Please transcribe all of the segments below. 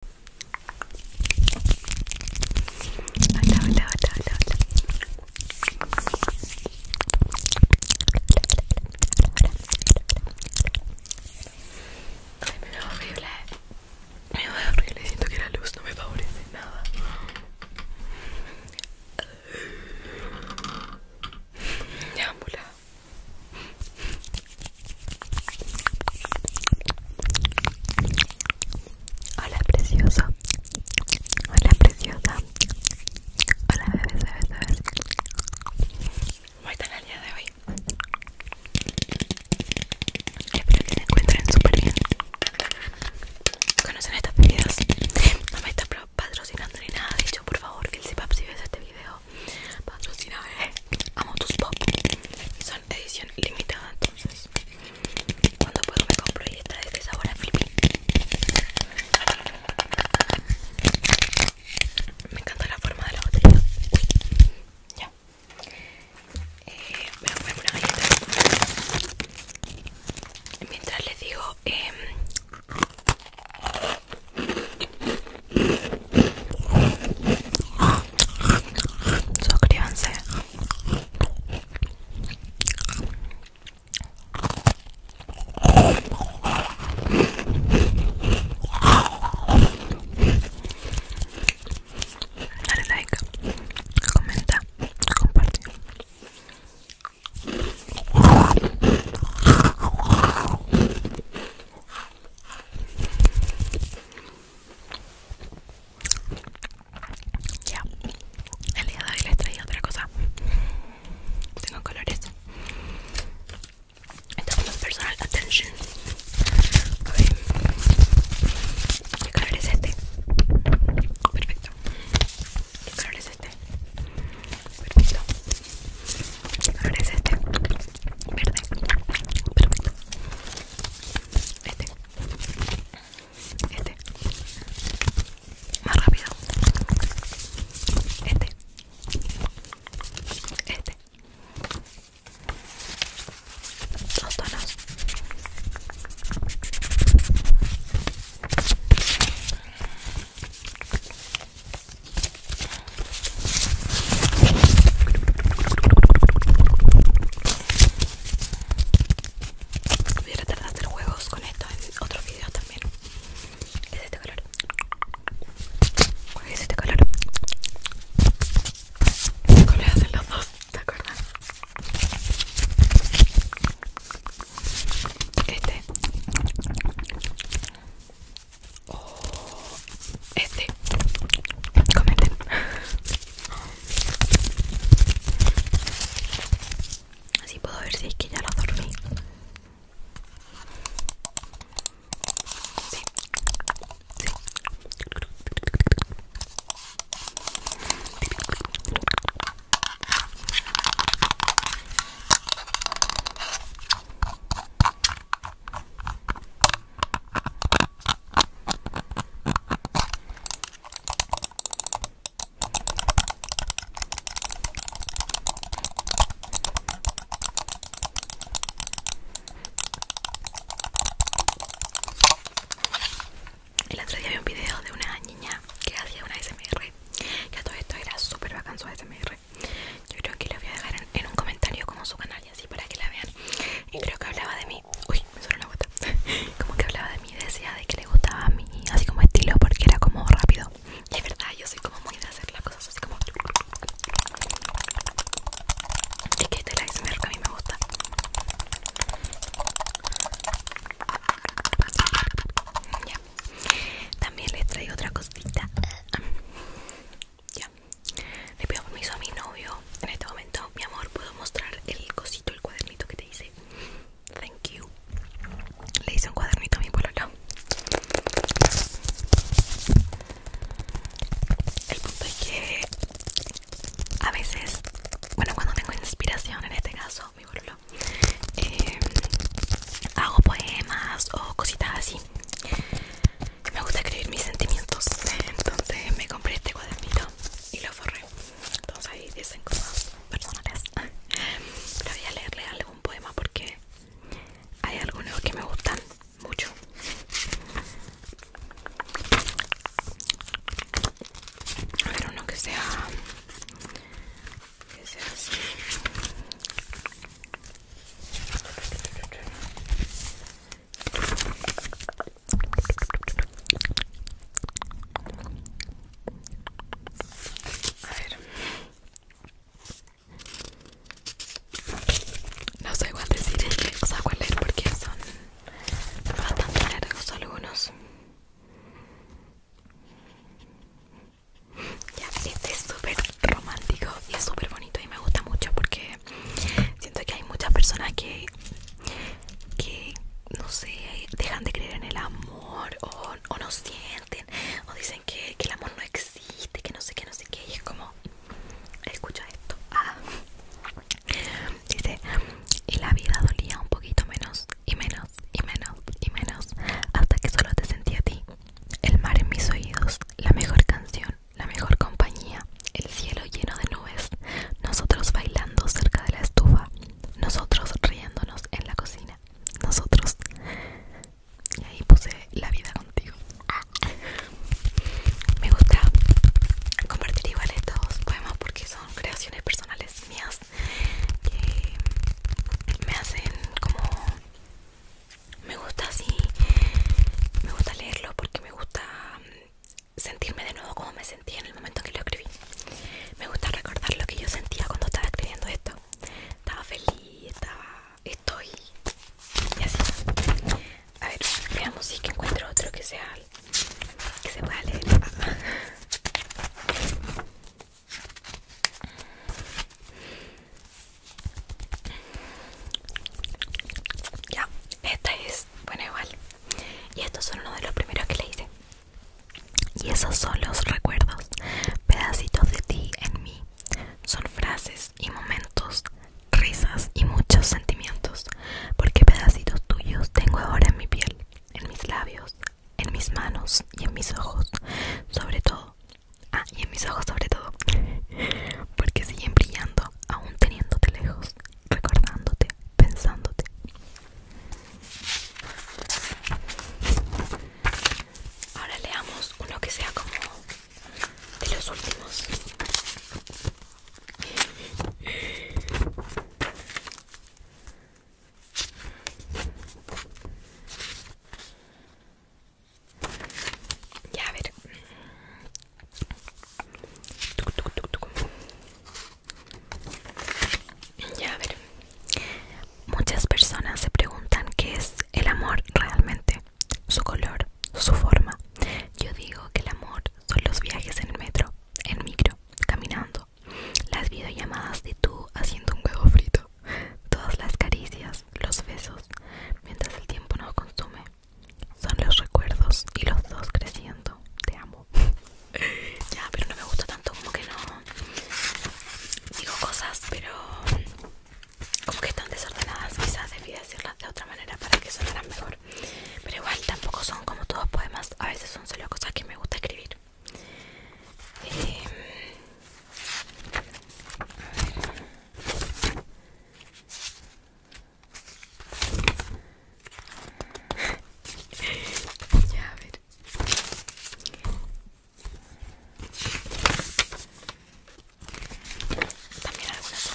Hola, hola, hola, hola, hola. Ay, me veo horrible. Me veo horrible. Siento que la luz no me favorece nada. Ya, mula. Hola precioso. Hola preciosa. Hola bebé bebé, bebé. ¿Cómo están el día de hoy? Espero que se encuentren súper bien. ¿Conocen estas bebidas? No me están patrocinando ni nada. De hecho, por favor, que el CIPAP si ves este video, patrocina, eh. Amo tus pop edición limitada entonces cuando puedo me compro y esta de este sabor a flippy me encanta la forma de la botella ya eh, voy a comer una galleta mientras les digo eh, Suscríbanse. Dale like, comenta, comparte. Ya, el día de hoy les traía otra cosa. Tengo colores. Esto es personal attention. A ver. ¿Qué color es este? Perfecto. ¿Qué color es este? Perfecto. ¿Qué color es este? Verde. Perfecto. Este. Este. Más rápido. Este. Este. Dos tonos. Voy a tratar de hacer juegos con esto en otros videos también. Es este color. Es este color. hacen este los dos? ¿Te acuerdas? Este este cometen así puedo ver si es que ya lo dormí el otro día vi un video de una niña que hacía una SMR, que a todo esto era súper bacán su SMR. Yo creo que les voy a dejar en un comentario como su canal así para que la vean y creo que hablaba de mi uy me suena la gota como que hablaba de mi decía de que le gustaba a mí así como estilo porque era como rápido y es verdad yo soy como muy de hacer las cosas así como Es que este es el que a mí me gusta ya también les traigo otra cosita ya le pido permiso a mi novio en este momento mi amor puedo mostrar el cosito el cuadernito que te hice thank you le hice un cuadernito a mi bololo el punto es que a veces bueno cuando tengo inspiración en este caso mi bololo eh, hago poemas o cositas así me gusta escribir mis sentimientos entonces me compré este cuadernito y lo forré entonces ahí dicen cosas personales pero voy a leerle algún poema porque hay algunos que me gustan mucho a ver uno que sea que sea así a ver. No sé cuál decir, o sea, cuál leer porque son bastante largos algunos. Ya, este es súper romántico y es súper bonito y me gusta mucho porque siento que hay muchas personas que, que no sé, dejan de creer en el amor o, no sienten o dicen que, que el amor no existe, que no sé qué, no sé qué, y es como, escucha esto. Ah. Dice, y la vida dolía un poquito menos y menos y menos y menos hasta que solo te sentí a ti. El mar en mis oídos, la mejor canción la mejor compañía, el cielo lleno de nubes, nosotros bailando cerca de la estufa, nosotros riéndonos en la cocina, nosotros... Y ahí puse la vida contigo. Ah. Me gusta compartir igual estos poemas porque son creaciones personales mías que me hacen como me gusta así me gusta leerlo porque me gusta mm, sentirme de nuevo como me sentía en el momento en que lo escribí me gusta recordar lo que yo sentía cuando estaba escribiendo esto estaba feliz estaba estoy y así a ver veamos si encuentro otro que sea que se pueda leer ah, ah. Ya, esta es buena igual. Y estos son uno de los primeros que le hice. Y esos son los recuerdos, pedacitos de ti en mí. Son frases y momentos, risas y muchos sentimientos, porque pedacitos tuyos tengo ahora en mi piel, en mis labios, en mis manos y en mis ojos, sobre todo. Ah, y en mis ojos sobre todo. porque siguen brillando aún teniéndote lejos, recordándote, pensándote. Ahora leamos uno que sea como de los últimos. Ya, ver. Ya, ver. Muchas personas se preguntan qué es el amor realmente, su color, su forma. Yo digo que el amor son los viajes en el metro, en micro, caminando, las videollamadas de tú haciendo un huevo frito, todas las caricias, los besos, mientras el tiempo nos consume. Son los recuerdos y los dos creciendo. Te amo. ya, pero no me gusta tanto como que no. Digo cosas, pero como que están desordenadas. Quizás debí decirlas de otra manera para que sonaran mejor. Pero igual tampoco son como todos poemas. A veces son solo cosas que me gusta escribir. Em, ya, a ver. También algunas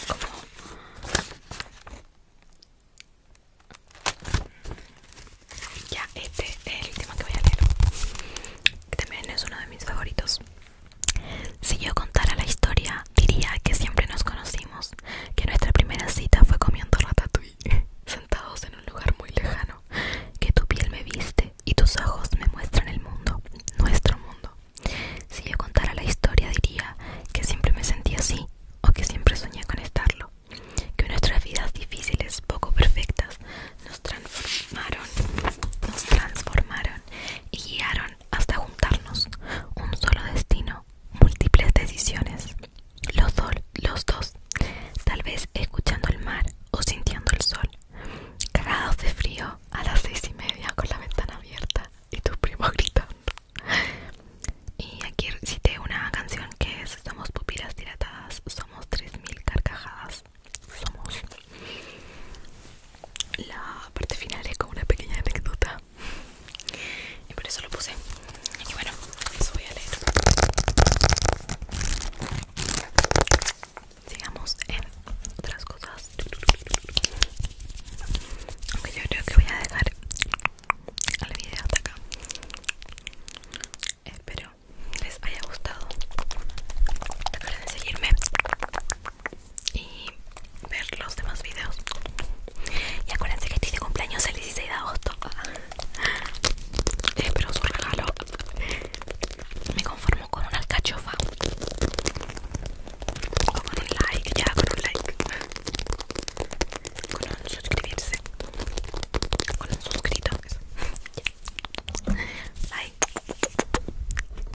como... Ya, este es el último que voy a leer. Que este también es uno de mis favoritos. Si yo contara la historia, diría que siempre nos conocimos, que nuestra primera cita fue comiendo ratatouille, sentados en un lugar muy lejano, que tu piel me viste y tus ojos me muestran el mundo, nuestro mundo. Si yo contara la historia, diría que siempre me sentí así o que siempre soñé con estarlo, que nuestras vidas difíciles, poco perfectas, nos transformaron, nos transformaron y guiaron hasta juntarnos. Un solo destino, múltiples decisiones. Los, los dos, tal vez escuchando el mar o sintiendo el sol. Grados de frío a las seis y media con la ventana abierta y tus primos gritando. Y aquí cite una canción que es Somos pupilas dilatadas, somos 3000 carcajadas. Somos la parte final es como una pequeña anécdota y por eso lo puse. Y bueno, eso voy a leer. Sigamos en otras cosas. Aunque yo creo que voy a dejar El video hasta acá. Espero les haya gustado. Recuerden seguirme y ver los demás videos. Y acuérdense que estoy de cumpleaños el 16 de agosto. Eh, pero su regalo. Me conformo con una alcachofa. O con un like, ya, con un like. Con un suscribirse. Con un suscrito. Like. Pues.